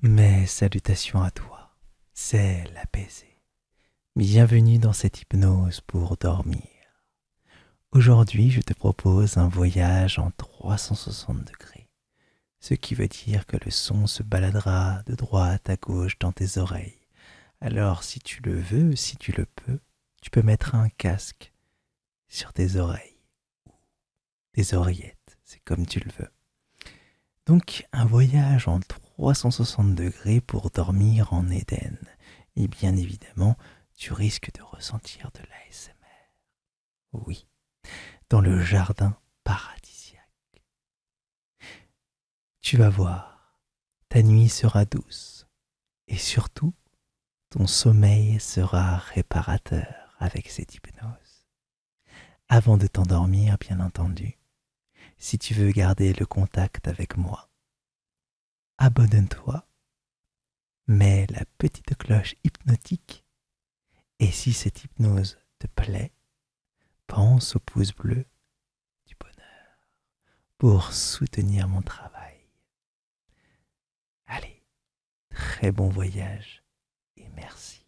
Mes salutations à toi, c'est l'apaisé. Bienvenue dans cette hypnose pour dormir. Aujourd'hui, je te propose un voyage en 360 degrés, ce qui veut dire que le son se baladera de droite à gauche dans tes oreilles. Alors, si tu le veux, si tu le peux, tu peux mettre un casque sur tes oreilles des oreillettes, c'est comme tu le veux. Donc un voyage en 360 degrés pour dormir en Éden. Et bien évidemment, tu risques de ressentir de l'ASMR. Oui, dans le jardin paradisiaque. Tu vas voir, ta nuit sera douce et surtout, ton sommeil sera réparateur avec cette hypnose. Avant de t'endormir, bien entendu, si tu veux garder le contact avec moi, abonne-toi, mets la petite cloche hypnotique, et si cette hypnose te plaît, pense au pouce bleu du bonheur pour soutenir mon travail. Allez, très bon voyage et merci.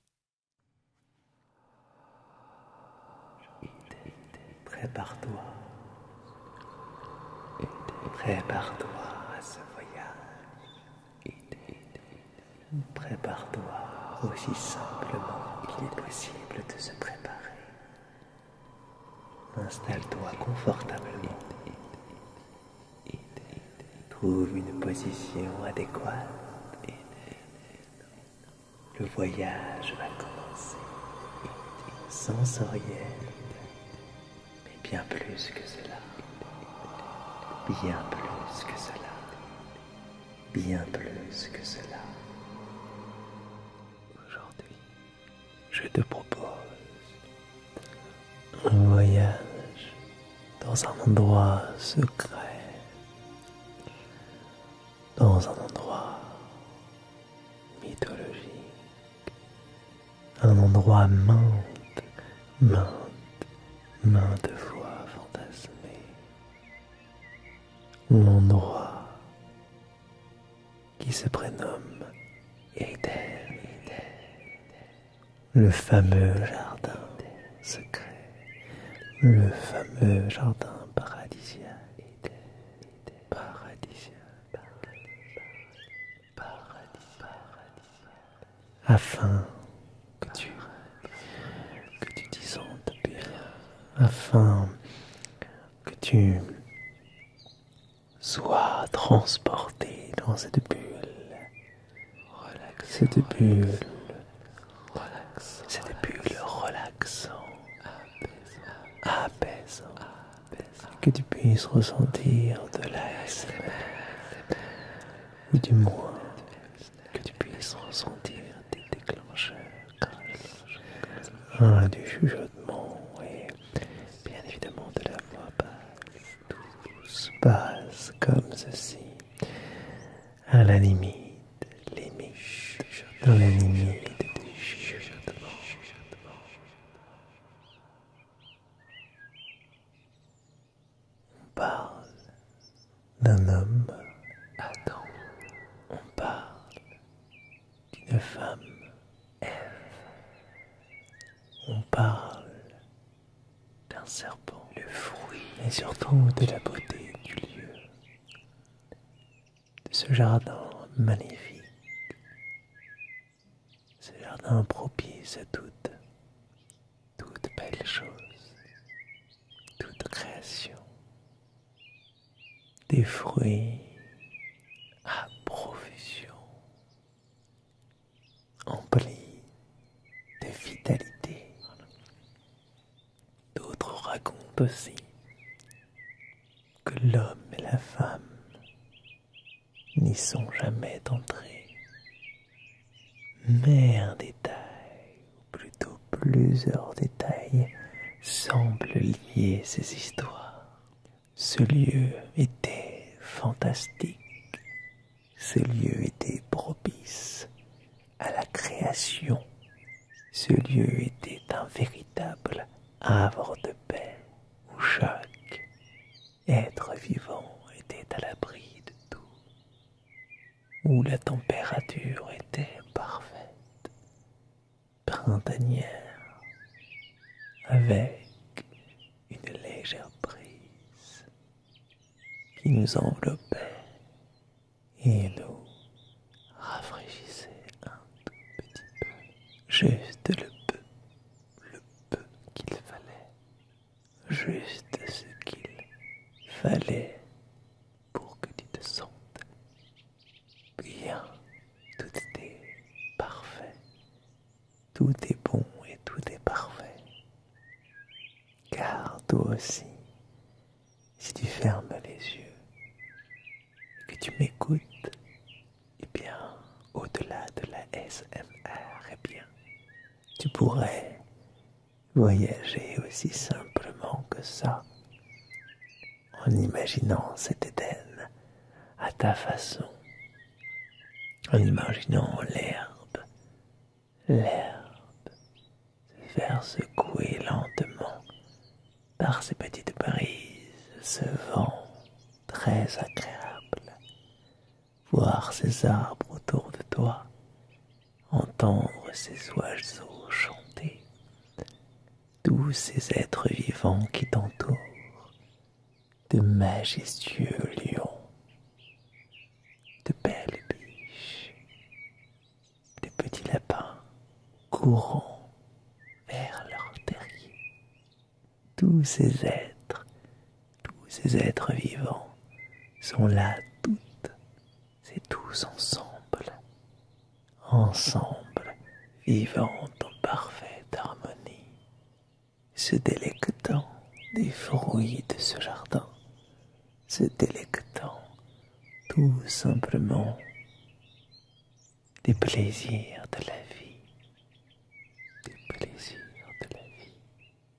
Prépare-toi. Prépare-toi à ce voyage. Prépare-toi aussi simplement qu'il est possible de se préparer. Installe-toi confortablement trouve une position adéquate. Le voyage va commencer sensoriel, mais bien plus que cela, bien plus que cela, bien plus que cela. Aujourd'hui, je te propose un voyage dans un endroit secret, dans un endroit mythologique, un endroit main de maintes fois fantasmé, endroit qui se prénomme Éternité le fameux jardin des Secrets, le fameux jardin paradisiaque, paradisiaque, afin que tu, que tu t'y sentes bien, afin que tu Sois transporté dans cette bulle. Cette bulle. Cette bulle relaxante. Apaisant. Que tu puisses ressentir de l'ASMR. Ou du moins, que tu puisses ressentir des déclencheurs. du chuchotement et bien évidemment de la voix basse tout se passe comme ceci, à la limite, limite, dans la limite du chuchotement. On parle d'un homme, Adam. On parle d'une femme, on parle d'un serpent, le fruit, et surtout de la beauté du lieu, de ce jardin magnifique, ce jardin propice à toutes, toute belles choses, toute création, des fruits à profusion emplis de vitalité. D'autres racontent aussi que l'homme et la femme n'y sont jamais entrés, mais un détail, ou plutôt plusieurs détails, semblent lier ces histoires. Ce lieu était fantastique. Ce lieu était propice à la création. Ce lieu était un véritable havre de paix où chaque être vivant était à l'abri de tout, où la température était parfaite, printanière, avec une légère brise qui nous enveloppait et nous rafraîchissait un tout petit peu, juste le peu, le peu qu'il fallait, juste ce qu'il fallait pour que tu te sentes bien, tout était parfait, tout est bon et tout est parfait. Car toi aussi, si tu fermes les yeux et que tu m'écoutes, eh bien, au-delà de la SMR, eh bien, tu pourrais voyager aussi simplement que ça, en imaginant cet Éden à ta façon, en imaginant l'herbe, l'herbe se faire secouer lentement par ces petites brises, ce vent très agréable, voir ces arbres autour de toi, entendre ces oiseaux chanter, tous ces êtres vivants qui t'entourent, de majestueux lions, de belles biches, de petits lapins courant vers leur terrier. Tous ces êtres, tous ces êtres vivants sont là toutes et tous ensemble ensemble, vivant en parfaite harmonie, se délectant des fruits de ce jardin, se délectant tout simplement des plaisirs de la vie, des plaisirs de la vie,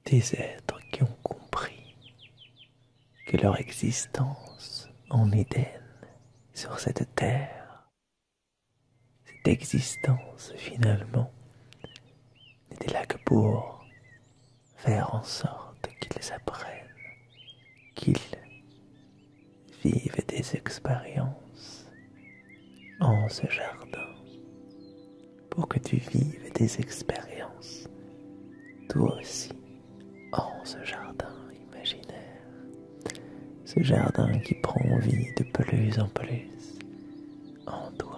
des êtres qui ont compris que leur existence en Éden, sur cette terre, cette existence finalement n'était là que pour faire en sorte qu'ils apprennent, qu'ils vivent des expériences en ce jardin, pour que tu vives des expériences toi aussi en ce jardin imaginaire ce jardin qui prend vie de plus en plus en toi, en toi.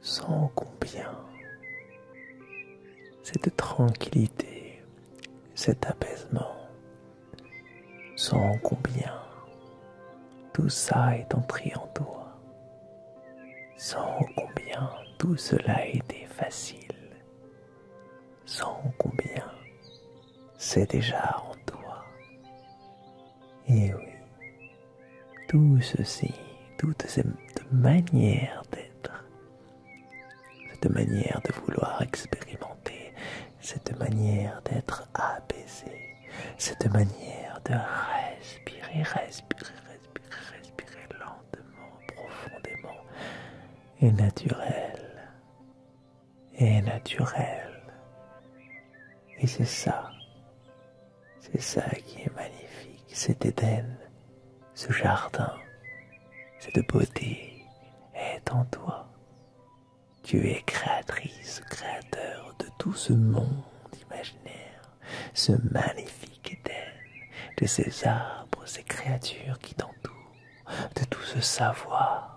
Sans combien cette tranquillité, cet apaisement, sans combien tout ça est entré en toi, sans combien tout cela a été facile, sans combien c'est déjà en toi, et eh oui, tout ceci, toute cette manière d'être, cette manière de vouloir expérimenter, cette manière d'être apaisé, cette manière de respirer, respirer, respirer, respirer lentement, profondément et naturel et naturel. Et c'est ça, c'est ça qui est magnifique, cet Éden, ce jardin, cette beauté est en toi. Tu es créatrice, créateur de tout ce monde imaginaire, ce magnifique Éden, de ces arbres, ces créatures qui t'entourent, de tout ce savoir.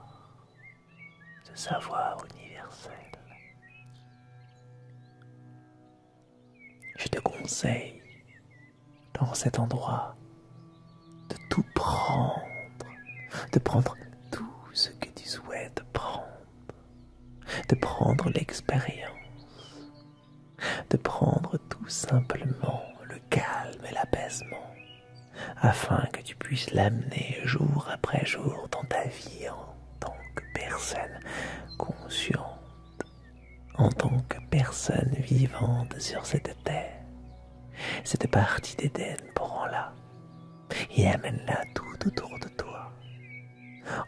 De savoir universel. Je te conseille, dans cet endroit, de tout prendre, de prendre tout ce que tu souhaites prendre, de prendre l'expérience, de prendre tout simplement le calme et l'apaisement afin que tu puisses l'amener jour après jour dans ta vie en tant que personne consciente, en tant que personne vivante sur cette terre. Cette partie d'Éden, prends-la et amène-la tout autour de toi.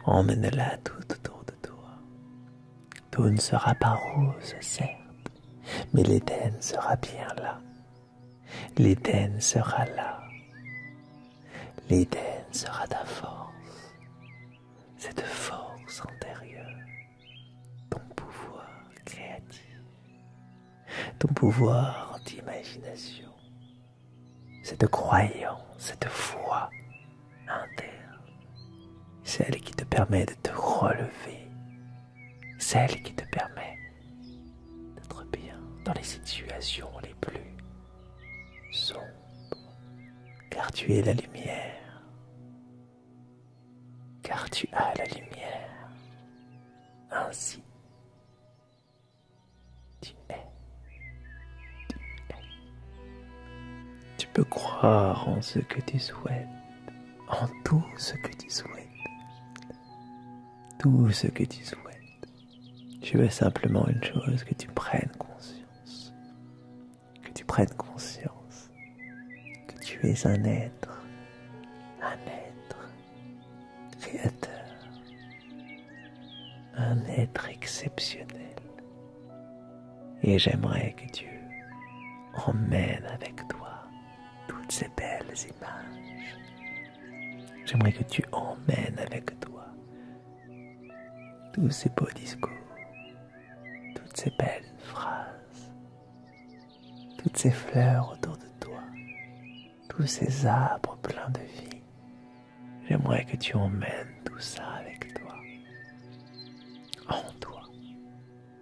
Emmène-la tout autour de toi. Tout ne sera pas rose, certes, mais l'Éden sera bien là, L'Éden sera là. L'Éden sera ta force, cette force antérieure, ton pouvoir créatif, ton pouvoir d'imagination, cette croyance, cette foi interne, celle qui te permet de te relever celle qui te permet d'être bien dans les situations les plus sombres, car tu es la lumière, car tu as la lumière, ainsi tu es, tu es. Tu peux croire en ce que tu souhaites, en tout ce que tu souhaites tout ce que tu souhaites. Je veux simplement une chose, que tu prennes conscience. Que tu prennes conscience que tu es un être, un être créateur, un être exceptionnel. Et j'aimerais que Dieu emmène avec toi toutes ces belles images. J'aimerais que tu emmènes avec toi tous ces beaux discours, toutes ces belles phrases, toutes ces fleurs autour de toi, tous ces arbres pleins de vie. J'aimerais que tu emmènes tout ça avec toi, en toi,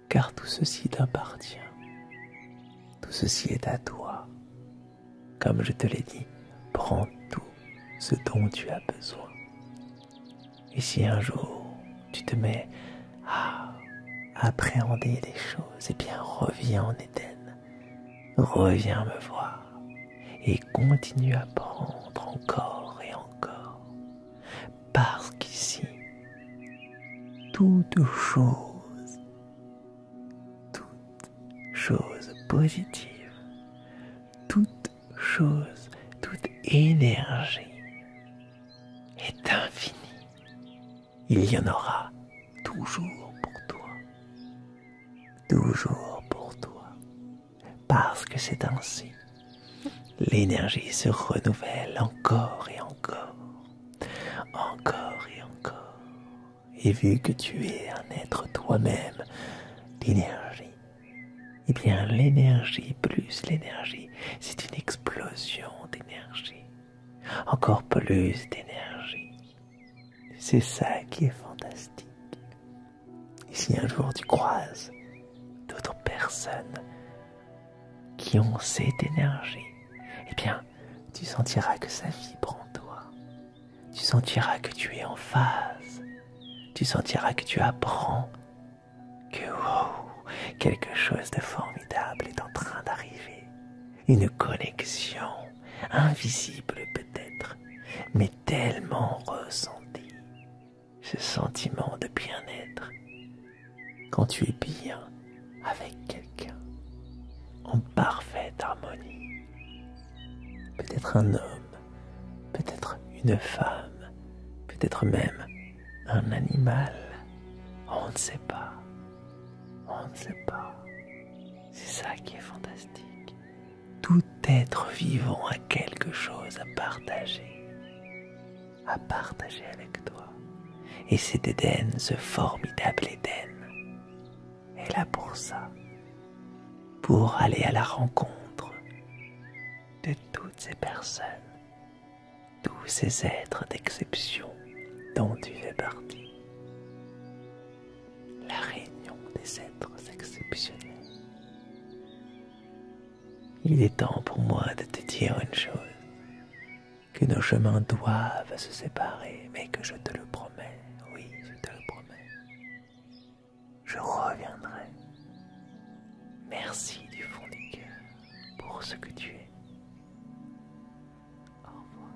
car tout ceci t'appartient. Tout ceci est à toi. Comme je te l'ai dit, prends tout ce dont tu as besoin. Et si un jour tu te mets à appréhender les choses, et eh bien reviens en Éden, reviens me voir et continue à prendre encore et encore. Parce qu'ici, toute chose, toute chose positive, toute chose, toute énergie est infinie. Il y en aura toujours pour toi, toujours pour toi, parce que c'est ainsi. L'énergie se renouvelle encore et encore encore, et encore. Et vu que tu es un être toi-même d'énergie, et eh bien l'énergie plus l'énergie, c'est une explosion d'énergie. Encore plus d'énergie. C'est ça qui est fantastique. Et si un jour tu croises d'autres personnes qui ont cette énergie, eh bien, tu sentiras que ça vibre en toi. Tu sentiras que tu es en phase. Tu sentiras que tu apprends que wow, quelque chose de formidable est en train d'arriver. Une connexion invisible peut-être, mais tellement ressentie. Ce sentiment de bien-être, quand tu es bien avec quelqu'un, en parfaite harmonie. Peut-être un homme, peut-être une femme, peut-être même un animal. On ne sait pas. On ne sait pas. C'est ça qui est fantastique. Tout être vivant a quelque chose à partager à partager avec toi. Et cet Eden, ce formidable Eden est là pour ça, pour aller à la rencontre de toutes ces personnes, tous ces êtres d'exception dont tu fais partie. La réunion des êtres exceptionnels. Il est temps pour moi de te dire une chose, que nos chemins doivent se séparer, mais que je te le promets, oui, je te le promets. Je reviendrai. Merci du fond du cœur pour ce que tu es. Au revoir.